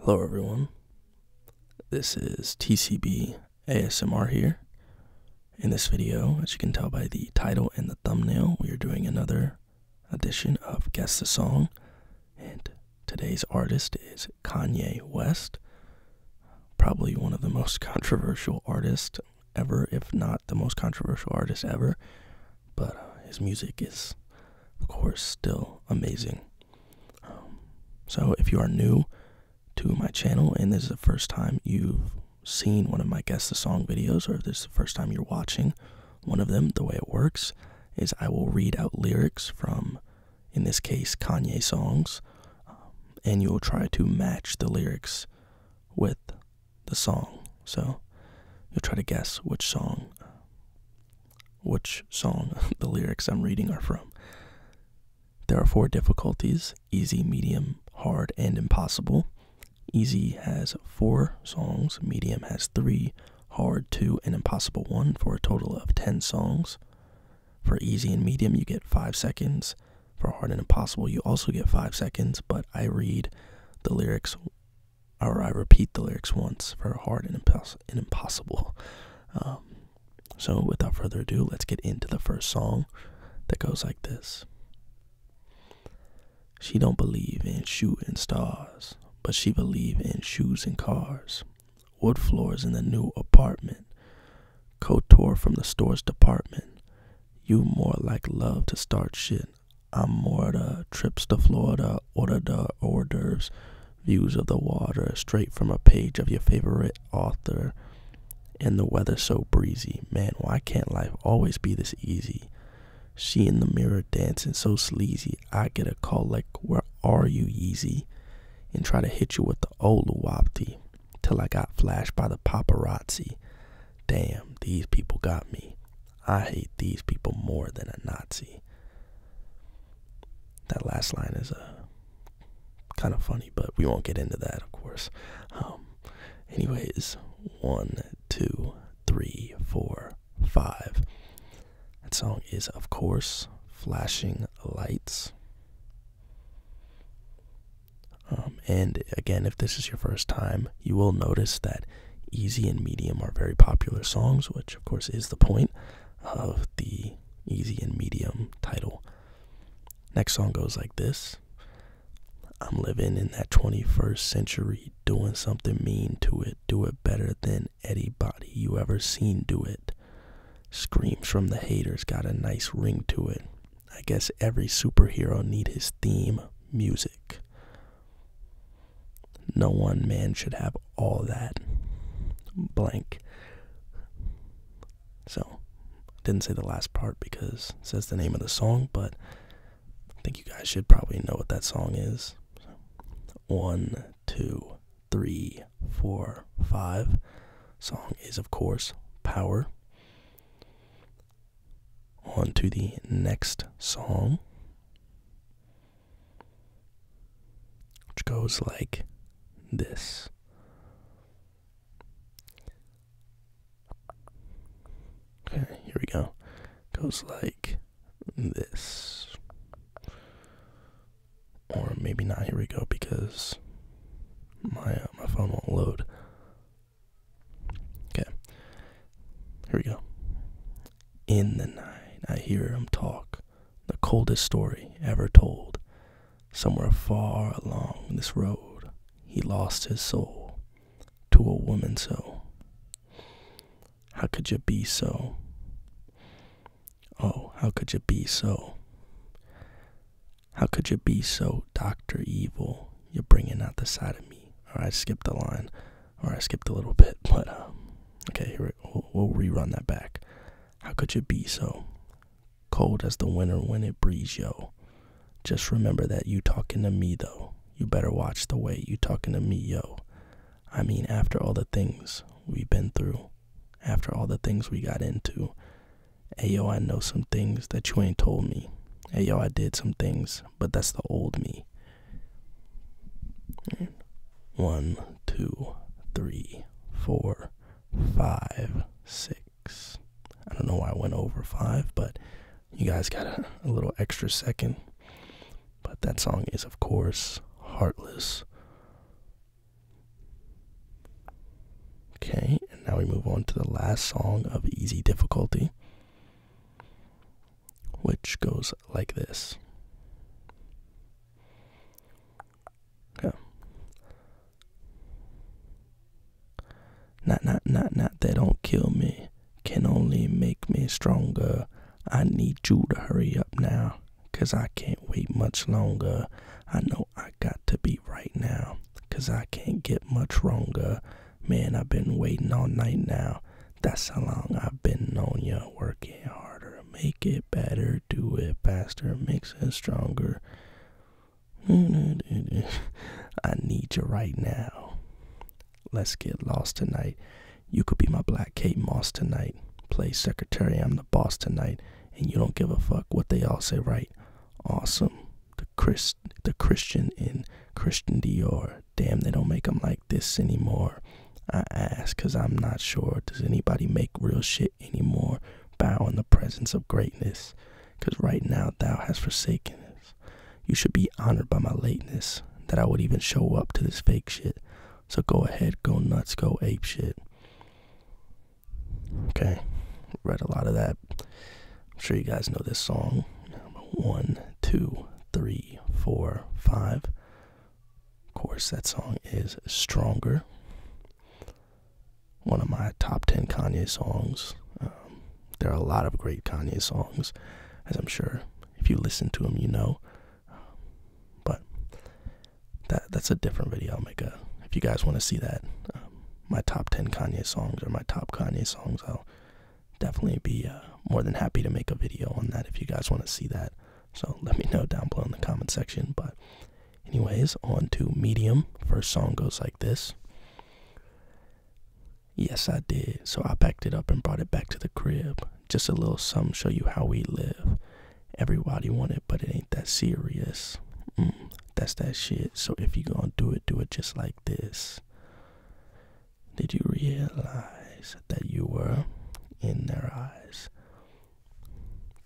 Hello, everyone. This is TCB ASMR here. In this video, as you can tell by the title and the thumbnail, we are doing another edition of Guess the Song. And today's artist is Kanye West, probably one of the most controversial artists ever, if not the most controversial artist ever. But uh, his music is, of course, still amazing. Um, so, if you are new to my channel and this is the first time you've seen one of my Guess the Song videos, or if this is the first time you're watching one of them, the way it works is I will read out lyrics from, in this case, Kanye songs, um, and you'll try to match the lyrics with the song. So, you'll try to guess which song um, which song the lyrics I'm reading are from. There are four difficulties easy, medium, hard, and impossible. Easy has four songs, medium has three, hard two, and impossible one, for a total of 10 songs. For easy and medium, you get five seconds. For hard and impossible, you also get five seconds, but I read the lyrics or I repeat the lyrics once for hard and, impossible. Um, so, without further ado, let's get into the first song that goes like this. She don't believe in shooting stars, but she believe in shoes and cars. Wood floors in the new apartment. Couture from the store's department. You more like love to start shit. I'm more the trips to Florida, order the hors d'oeuvres views of the water straight from a page of your favorite author. And the weather so breezy. Man, why can't life always be this easy? She in the mirror dancing so sleazy. I get a call like, Where are you, Yeezy? And try to hit you with the old wapti till I got flashed by the paparazzi. Damn, these people got me. I hate these people more than a Nazi. That last line is uh, kind of funny, but we won't get into that, of course. Um, anyways, one, two, three, four, five. That song is, of course, Flashing Lights. Um, and again, if this is your first time, you will notice that easy and medium are very popular songs, which, of course, is the point of the easy and medium title. Next song goes like this I'm living in that 21st century, doing something mean to it. Do it better than anybody you ever seen do it. Screams from the haters got a nice ring to it. I guess every superhero need his theme music. No one man should have all that. Blank. So, didn't say the last part because says the name of the song, but I think you guys should probably know what that song is. one, two, three, four, five. Song is, of course, Power. On to the next song which goes like this. Okay, here we go. Goes like this. Or maybe not. Here we go because my uh, my phone won't load. Okay. Here we go. In the night, I hear him talk, the coldest story ever told. Somewhere far along this road, he lost his soul to a woman so. How could you be so? Oh, how could you be so? How could you be so, Dr. Evil? You're bringing out the side of me. Alright, skip the line. Or I skipped a little bit, but um, okay, here we, will rerun that back. How could you be so cold as the winter when it breezes, yo? Just remember that you talking to me though. You better watch the way you talking to me, yo. I mean, after all the things we've been through, after all the things we got into, hey, yo, I know some things that you ain't told me. Hey, yo, I did some things, but that's the old me. One, two, three, four, five, six. I don't know why I went over five, but you guys got a, little extra second. But that song is, of course, Heartless. Okay, and now we move on to the last song of Easy Difficulty which goes like this. Okay. Not, not, not, not, they don't kill me. Can only make me stronger. I need you to hurry up now, cause I can't wait much longer. I know I got to be right now, cause I can't get much wronger. Man, I've been waiting all night now. That's how long I've been on ya, working harder, make it better, do it faster, makes it stronger. I need you right now. Let's get lost tonight. You could be my black Kate Moss tonight. Play secretary, I'm the boss tonight, and you don't give a fuck what they all say, right? Awesome. The Chris, the Christian in Christian Dior damn they don't 'em like this anymore i ask, i'm not sure does anybody make real shit anymore bow in the presence of greatness, 'cause right now thou hast forsaken us you should be honored by my lateness that i would even show up to this fake shit so go ahead go nuts go ape shit okay read a lot of that i'm sure you guys know this song one two three four five of course, that song is Stronger, one of my top 10 Kanye songs. Um, there are a lot of great Kanye songs, as I'm sure if you listen to them, you know. Um, but that that's a different video. I'll make a, if you guys want to see that, um, my top 10 Kanye songs or my top Kanye songs, I'll definitely be uh, more than happy to make a video on that if you guys want to see that. So let me know down below in the comment section. But, anyways, on to Medium. First song goes like this. Yes, I did. So I packed it up and brought it back to the crib. Just a little something, show you how we live. Everybody want it, but it ain't that serious. Mm, that's that shit. So if you gonna do it, do it just like this. Did you realize that you were in their eyes?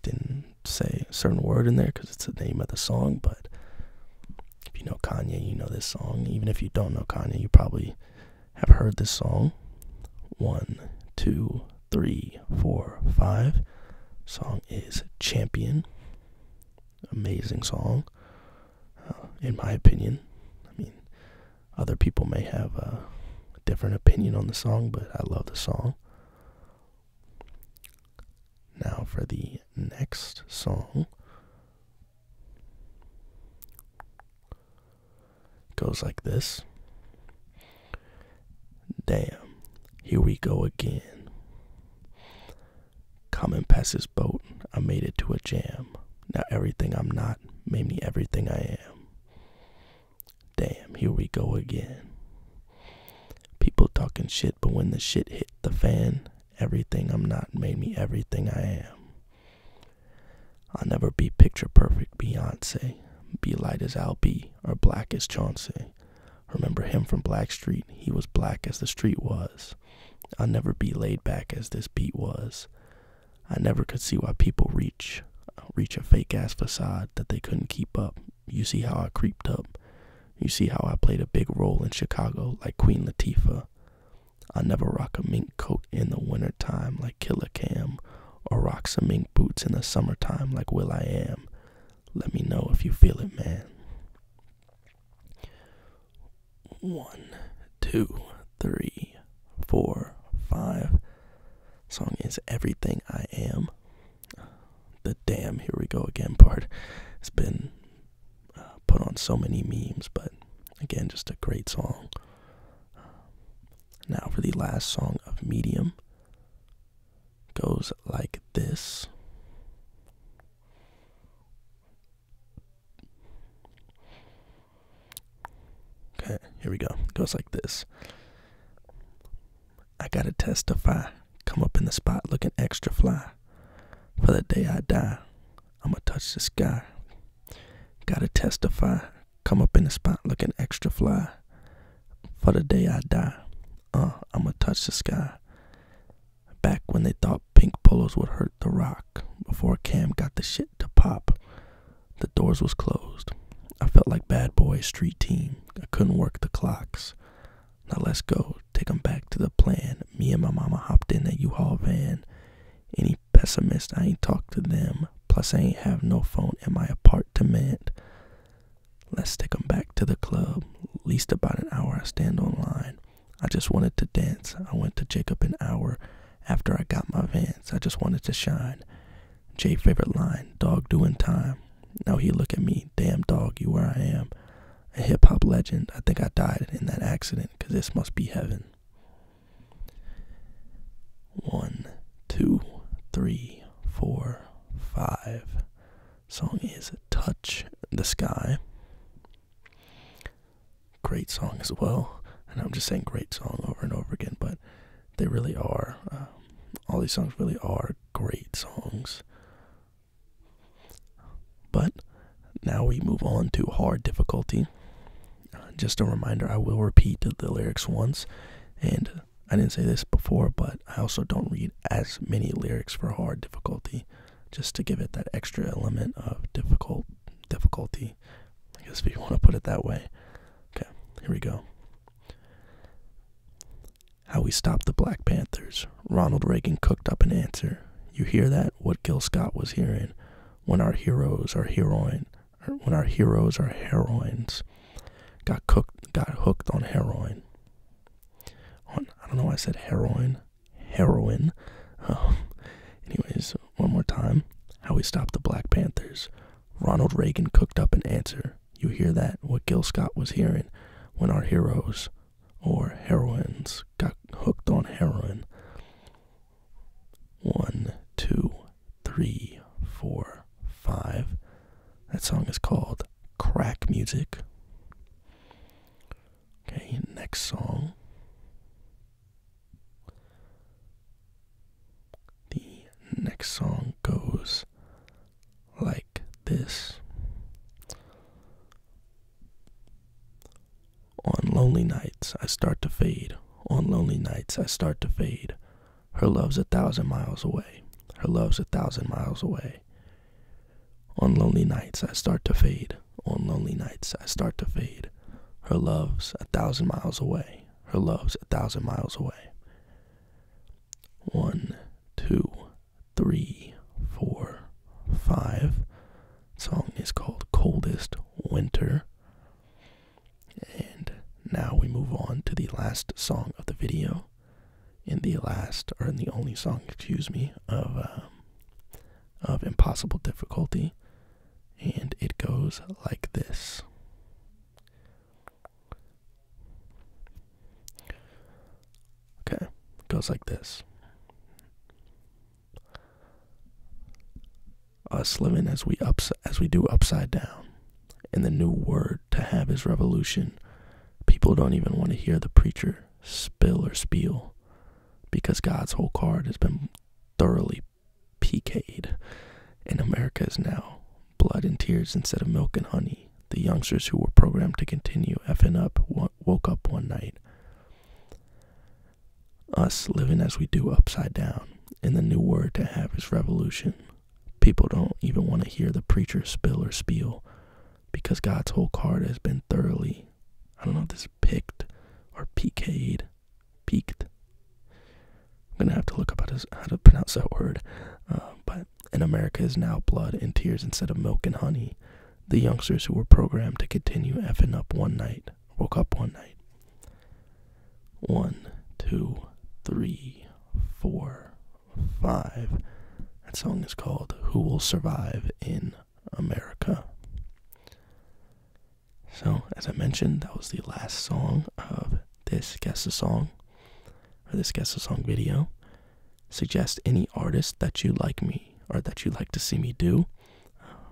Didn't say a certain word in there because it's the name of the song, but if you know Kanye, you know this song. Even if you don't know Kanye, you probably have heard this song. One, two, three, four, five. Song is Champion. Amazing song, uh, in my opinion. I mean, other people may have a different opinion on the song, but I love the song. Now for the next song. Goes like this. Damn, here we go again. Coming past this boat, I made it to a jam. Now everything I'm not made me everything I am. Damn, here we go again. People talking shit, but when the shit hit the fan, everything I'm not made me everything I am. I'll never be picture perfect Beyonce, be light as I'll be, or black as Chauncey. Remember him from Black Street? he was black as the street was. I'll never be laid back as this beat was. I never could see why people reach reach a fake ass facade that they couldn't keep up. You see how I creeped up. You see how I played a big role in Chicago like Queen Latifah. I never rock a mink coat in the wintertime like Killer Cam, or rock some mink boots in the summertime like Will I Am. Let me know if you feel it, man. One, two, three, four, five. Song is Everything I Am. The damn, here we go again part has been uh, put on so many memes, but again, just a great song. Now, for the last song of Medium, goes like this. Okay, here we go. It goes like this. I gotta testify. Come up in the spot looking extra fly. For the day I die, I'ma touch the sky. Gotta testify. Come up in the spot looking extra fly. For the day I die, uh, I'ma touch the sky. Back when they thought pink polos would hurt the rock, before Cam got the shit to pop. The doors was closed. I felt like bad boy street team. I couldn't work the clocks. Now let's go. Take 'em back to the plan. Me and my mama hopped in that U-Haul van. Any pessimist, I ain't talk to them. Plus, I ain't have no phone in my apartment. Let's take 'em back to the club. At least about an hour I stand on line. I just wanted to dance. I went to Jacob an hour after I got my Vans, I just wanted to shine. Jay favorite line, dog doing time. Now he look at me, damn dog, you where I am. A hip hop legend, I think I died in that accident, cause this must be heaven. One, two, three, four, five. Song is Touch the Sky great song as well. And I'm just saying great song over and over again, but they really are. Um, all these songs really are great songs. But now we move on to hard difficulty. Uh, just a reminder, I will repeat the lyrics once. And I didn't say this before, but I also don't read as many lyrics for hard difficulty just to give it that extra element of difficult difficulty I guess we want to put it that way. Okay, here we go. How we stopped the Black Panthers. Ronald Reagan cooked up an answer. You hear that? What Gil Scott was hearing. When our heroes are heroine, er, when our heroes are heroines, got cooked, got hooked on heroin. On, I don't know why I said heroin, heroin. Oh. Anyways, one more time. How we stopped the Black Panthers. Ronald Reagan cooked up an answer. You hear that? What Gil Scott was hearing when our heroes or heroines got hooked on heroin. One, two, three, four, five. That song is called Crack Music. Okay, next song. The next song goes like this On lonely nights I start to fade, on lonely nights I start to fade. Her love's a thousand miles away, her love's a thousand miles away. On lonely nights I start to fade, on lonely nights I start to fade. Her love's a thousand miles away, her love's a thousand miles away. One, two, three, four, five. song is called Coldest Winter. And now we move on to the last song of the video. In the last, or in the only song, excuse me, of um, of Impossible Difficulty, and it goes like this. Okay, it goes like this. Us living as we ups as we do upside down, and the new word to have is revolution. People don't even want to hear the preacher spill or spiel, because God's whole card has been thoroughly pk and America is now blood and tears instead of milk and honey. The youngsters who were programmed to continue effing up woke up one night. Us living as we do upside down, in the new word to have is revolution. People don't even want to hear the preacher spill or spiel because God's whole card has been thoroughly, I don't know if this is picked or pk peaked. I'm gonna have to look up how to, pronounce that word. Um, but in America is now blood and tears instead of milk and honey. The youngsters who were programmed to continue effing up one night woke up one night. One, two, three, four, five. That song is called Who Will Survive in America. So, as I mentioned, that was the last song of this Guess the Song, or this Guess the Song video. Suggest any artist that you like me, or that you like to see me do. Um,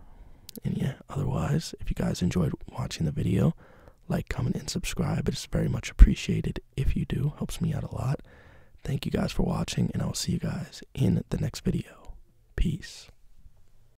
and yeah, otherwise, if you guys enjoyed watching the video, like, comment, and subscribe. It's very much appreciated if you do. Helps me out a lot. Thank you guys for watching, and I will see you guys in the next video. Peace.